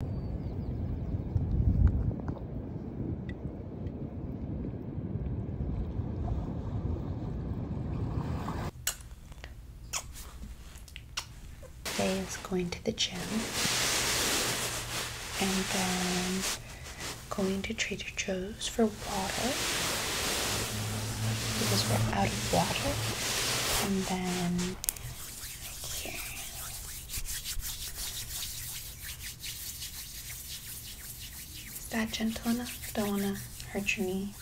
Today is going to the gym and then going to Trader Joe's for water because we're out of water and then is that gentle enough? Don't want to hurt your knee.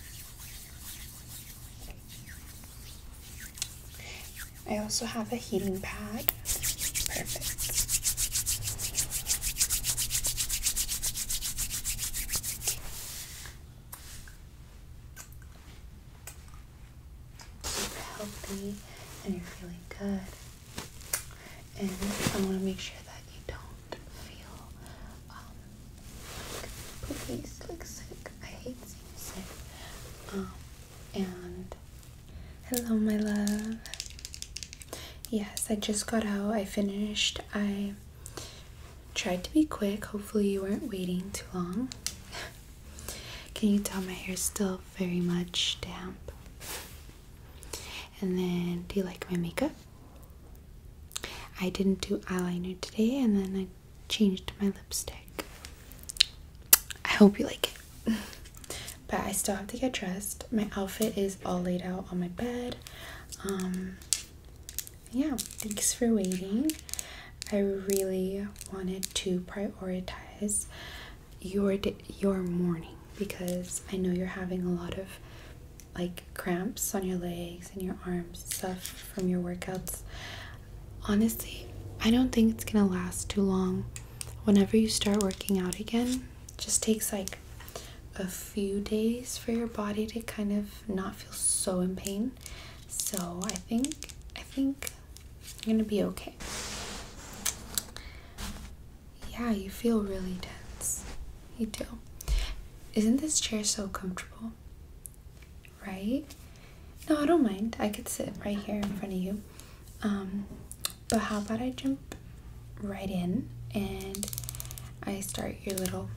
I also have a heating pad. Perfect healthy and you're feeling good. And I want to make sure that you don't feel um, like poopies, like sick. I hate seeing sick. Um, and hello, my love. Yes, I just got out. I finished. I tried to be quick. Hopefully, you weren't waiting too long. Can you tell my hair's still very much damp. And then, do you like my makeup? I didn't do eyeliner today, and then I changed my lipstick. I hope you like it. but I still have to get dressed. My outfit is all laid out on my bed. Um, yeah, thanks for waiting. I really wanted to prioritize your your morning because I know you're having a lot of like cramps on your legs and your arms stuff from your workouts. Honestly, I don't think it's going to last too long. Whenever you start working out again, just takes like a few days for your body to kind of not feel so in pain. So, I think I think you're gonna be okay. Yeah, you feel really tense. You do. Isn't this chair so comfortable? Right? No, I don't mind. I could sit right here in front of you. Um, but how about I jump right in and I start your little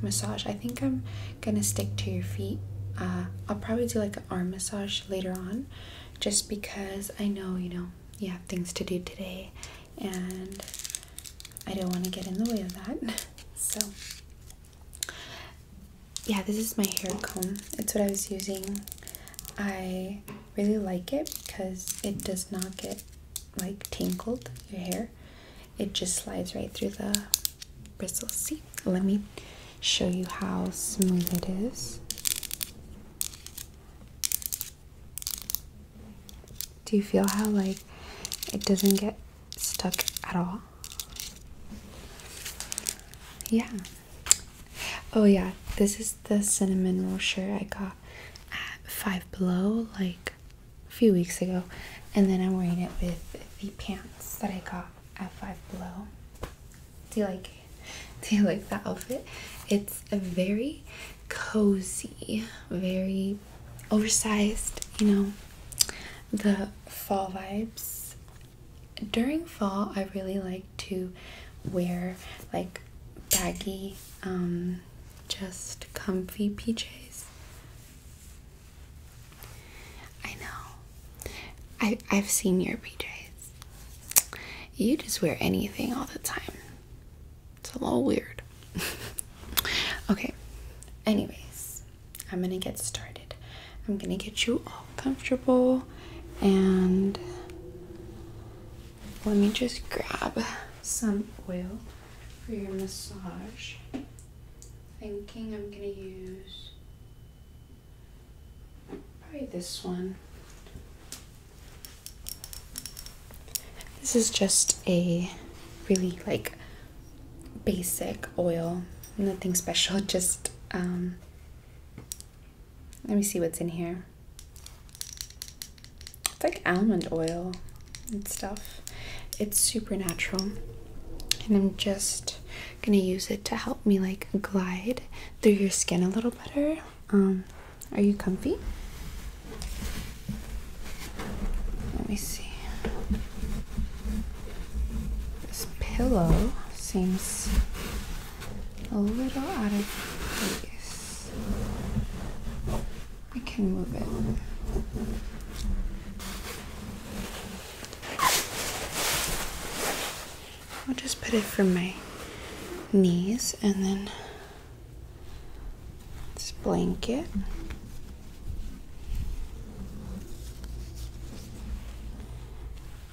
massage? I think I'm gonna stick to your feet. Uh, I'll probably do like a arm massage later on just because I know you know you have things to do today and I don't want to get in the way of that. So, yeah, this is my hair comb. It's what I was using. I really like it because it does not get like tangled your hair. It just slides right through the Bristle See, let me show you how smooth it is. Do you feel how like it doesn't get stuck at all? Yeah. Oh yeah, this is the cinnamon roll I got at Five Below like a few weeks ago, and then I'm wearing it with the pants that I got F5 Below. Do you like it? Do you like that outfit? It's a very cozy, very oversized, you know, the fall vibes. During fall, I really like to wear like baggy, um, just comfy PJs. I know. I I've seen your PJs. You just wear anything all the time. It's a little weird. okay. Anyways, I'm gonna get started. I'm gonna get you all comfortable and let me just grab some oil for your massage. Thinking I'm gonna use Probably this one. This is just a really like basic oil, nothing special, just um, let me see what's in here. It's like almond oil and stuff. It's supernatural. And I'm just gonna use it to help me like glide through your skin a little better. Um, are you comfy? Let me see. This pillow seems a little out of place. I can move it. I'll just put it from my knees and then this blanket.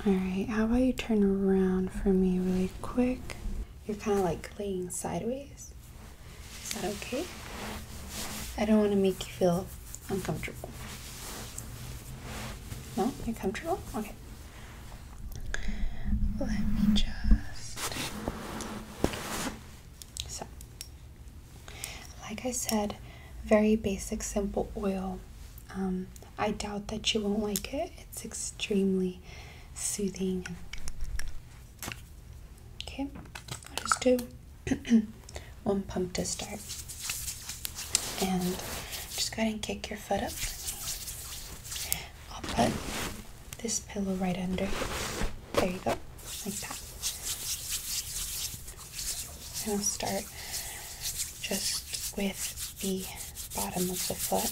Alright, how about you turn around for me really quick? You're kind of like laying sideways. Is that okay? I don't want to make you feel uncomfortable. No? You're comfortable? Okay. Let me just. So, like I said, very basic, simple oil. Um, I doubt that you won't like it. It's extremely soothing. Okay, I'll just do. one pump to start. And just go ahead and kick your foot up. I'll put this pillow right under here. There you go, like that. And I'll start just with the bottom of the foot.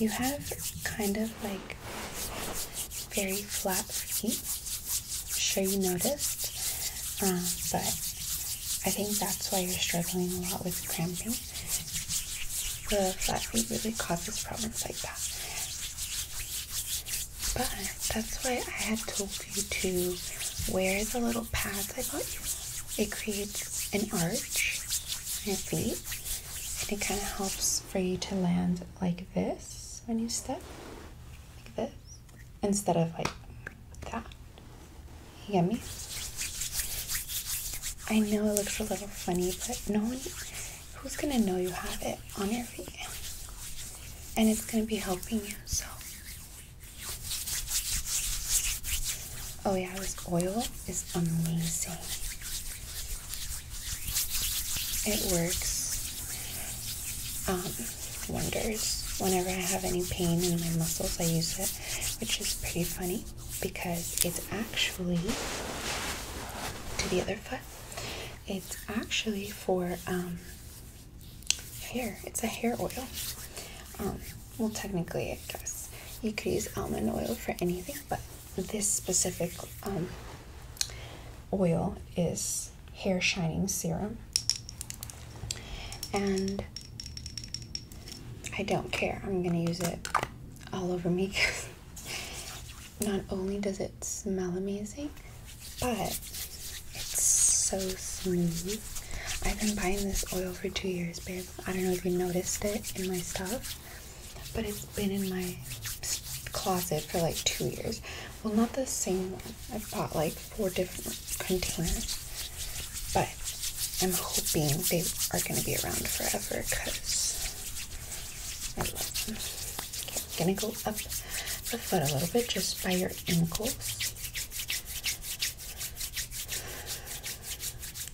You have kind of like very flat feet, sure you noticed, um, but I think that's why you're struggling a lot with cramping. The flat feet really causes problems like that. But that's why I had told you to wear the little pads I bought you. It creates an arch on your feet, and it kind of helps for you to land like this when you step, like this instead of like that. You get me? I know it looks a little funny, but no one, who's gonna know you have it on your feet? And it's gonna be helping you, so. Oh yeah, this oil is amazing. It works. Um, wonders. Whenever I have any pain in my muscles, I use it, which is pretty funny because it's actually to the other foot. It's actually for um, hair. It's a hair oil. Um, well, technically, I guess you could use almond oil for anything, but this specific um, oil is this hair shining serum. And I don't care. I'm going to use it all over me because not only does it smell amazing, but it's so smooth. I've been buying this oil for two years, babe. I don't know if you noticed it in my stuff, but it's been in my closet for like two years. Well, not the same one. I've bought like four different containers, but I'm hoping they are going to be around forever because I am going to go up the foot a little bit just by your ankles.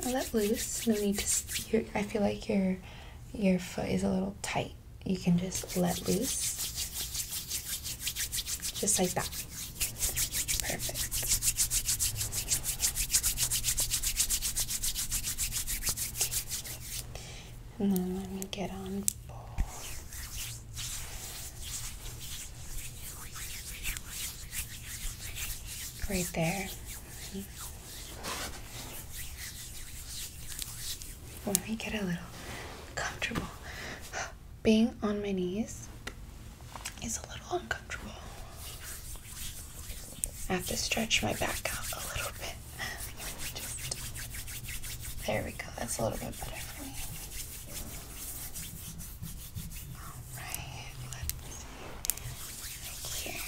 let loose. No need to. I feel like your your foot is a little tight you can just let loose, just like that. Perfect. And then let me get on both. right there. Let me get a little comfortable being on my knees is a little uncomfortable. I have to stretch my back out a little bit. there we go. That's a little bit better for me. Right here.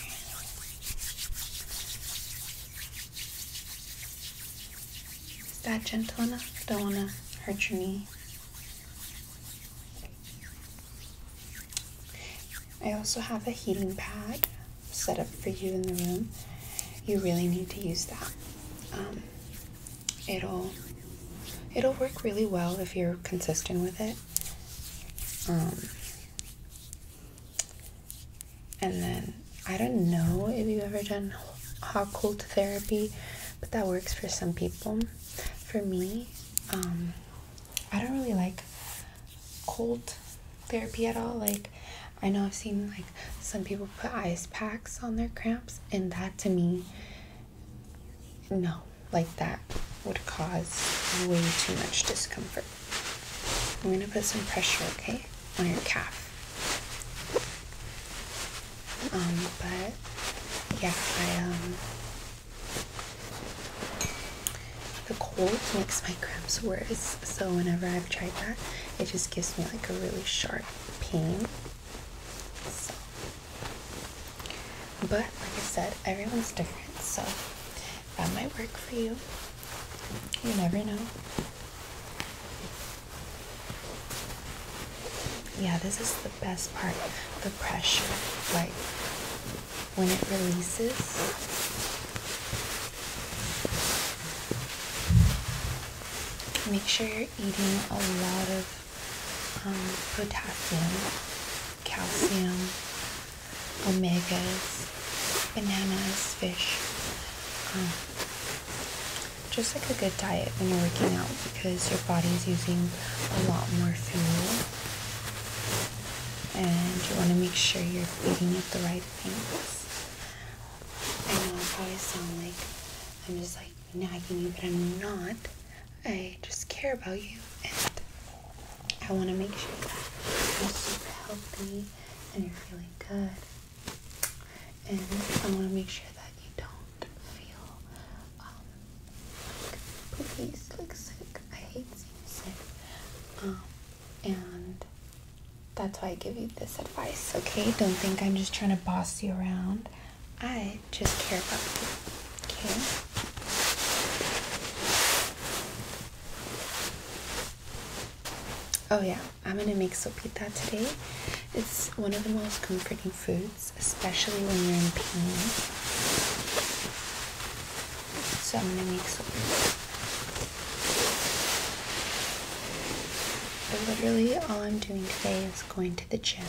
Is that gentle enough? Don't want to hurt your knee. I also have a heating pad set up for you in the room. You really need to use that. Um, it'll it'll work really well if you're consistent with it. Um, and then I don't know if you've ever done hot cold therapy, but that works for some people. For me, um, I don't really like cold therapy at all. Like, I know I've seen like some people put ice packs on their cramps, and that to me, no, like that would cause way too much discomfort. I'm gonna put some pressure, okay? on your calf. Um, but yeah, I um, the cold makes my cramps worse, so whenever I've tried that, it just gives me like a really sharp pain. So but like I said, everyone's different, so that might work for you. You never know. Yeah, this is the best part the pressure. Like when it releases. Make sure you're eating a lot of um, potassium, calcium, omegas, bananas, fish. Um, just like a good diet when you're working out because your body's using a lot more fuel and you want to make sure you're feeding it the right things. I know I probably sound like I'm just like nagging you, but I'm not. I just care about you and I want to make sure that you're super healthy and you're feeling good and I want to make sure that you don't feel um, like, please, like sick. I hate seeing sick. Um, and that's why I give you this advice, okay? Don't think I'm just trying to boss you around. I just care about you, okay? Oh, yeah. I'm gonna make sopita today. It's one of the most comforting foods, especially when you're in pain. So I'm gonna make sopita. literally all I'm doing today is going to the gym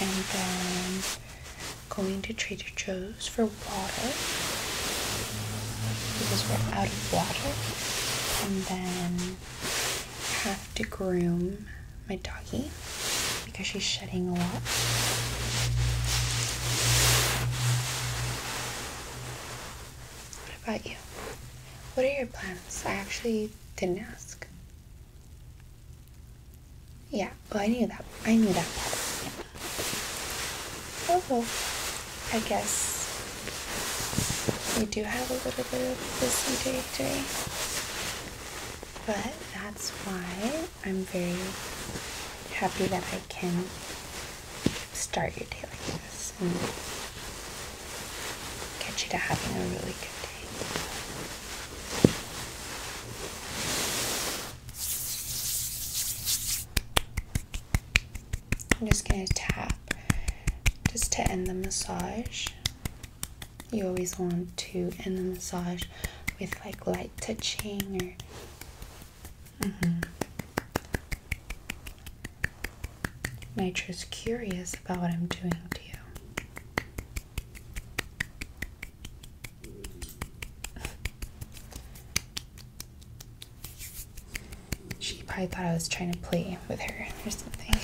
and then going to Trader Joe's for water because we're out of water. And then I have to groom my doggy because she's shedding a lot. What about you? What are your plans? I actually didn't ask. Yeah, well, I knew that. I knew that part. Oh. I guess we do have a little bit of this day today. But that's why I'm very happy that I can start your day like this and get you to having a really good day. I'm just going to tap just to end the massage. You always want to end the massage with like light touching or. Mm -hmm. Nature's curious about what I'm doing to you. She probably thought I was trying to play with her or something.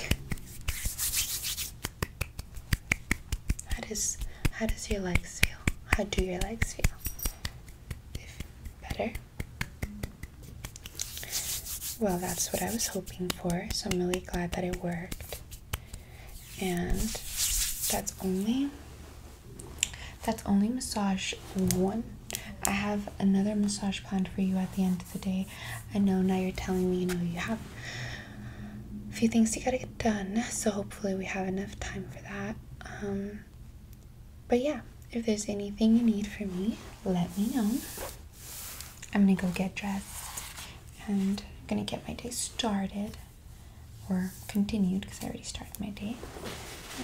How does how does your legs feel? How do your legs feel? better? Well, that's what I was hoping for, so I'm really glad that it worked. And that's only that's only massage one I have another massage pond for you at the end of the day. I know now you're telling me you know you have a few things you gotta get done, so hopefully we have enough time for that. Um, but yeah, if there's anything you need from me, let me know. I'm gonna go get dressed and I'm gonna get my day started or continued because I already started my day.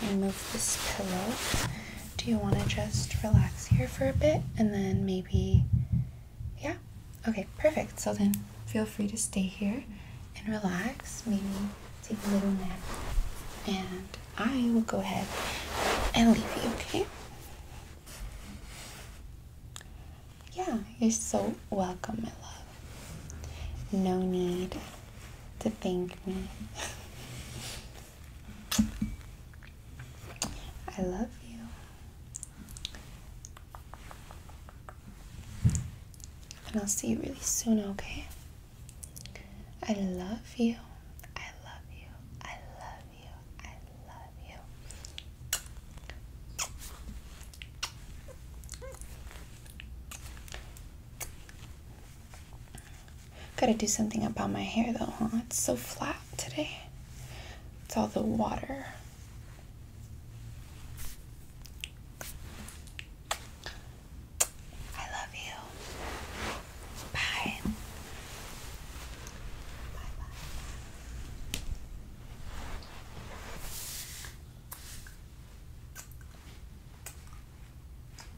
i move this pillow do you want to just relax here for a bit and then maybe yeah okay perfect so then feel free to stay here and relax maybe take a little nap and i will go ahead and leave you okay yeah you're so welcome my love no need to thank me I love you. And I'll see you really soon, okay? I love you. I love you. I love you. I love you. Gotta do something about my hair though, huh? It's so flat today. It's all the water. I love you. Bye. Bye bye.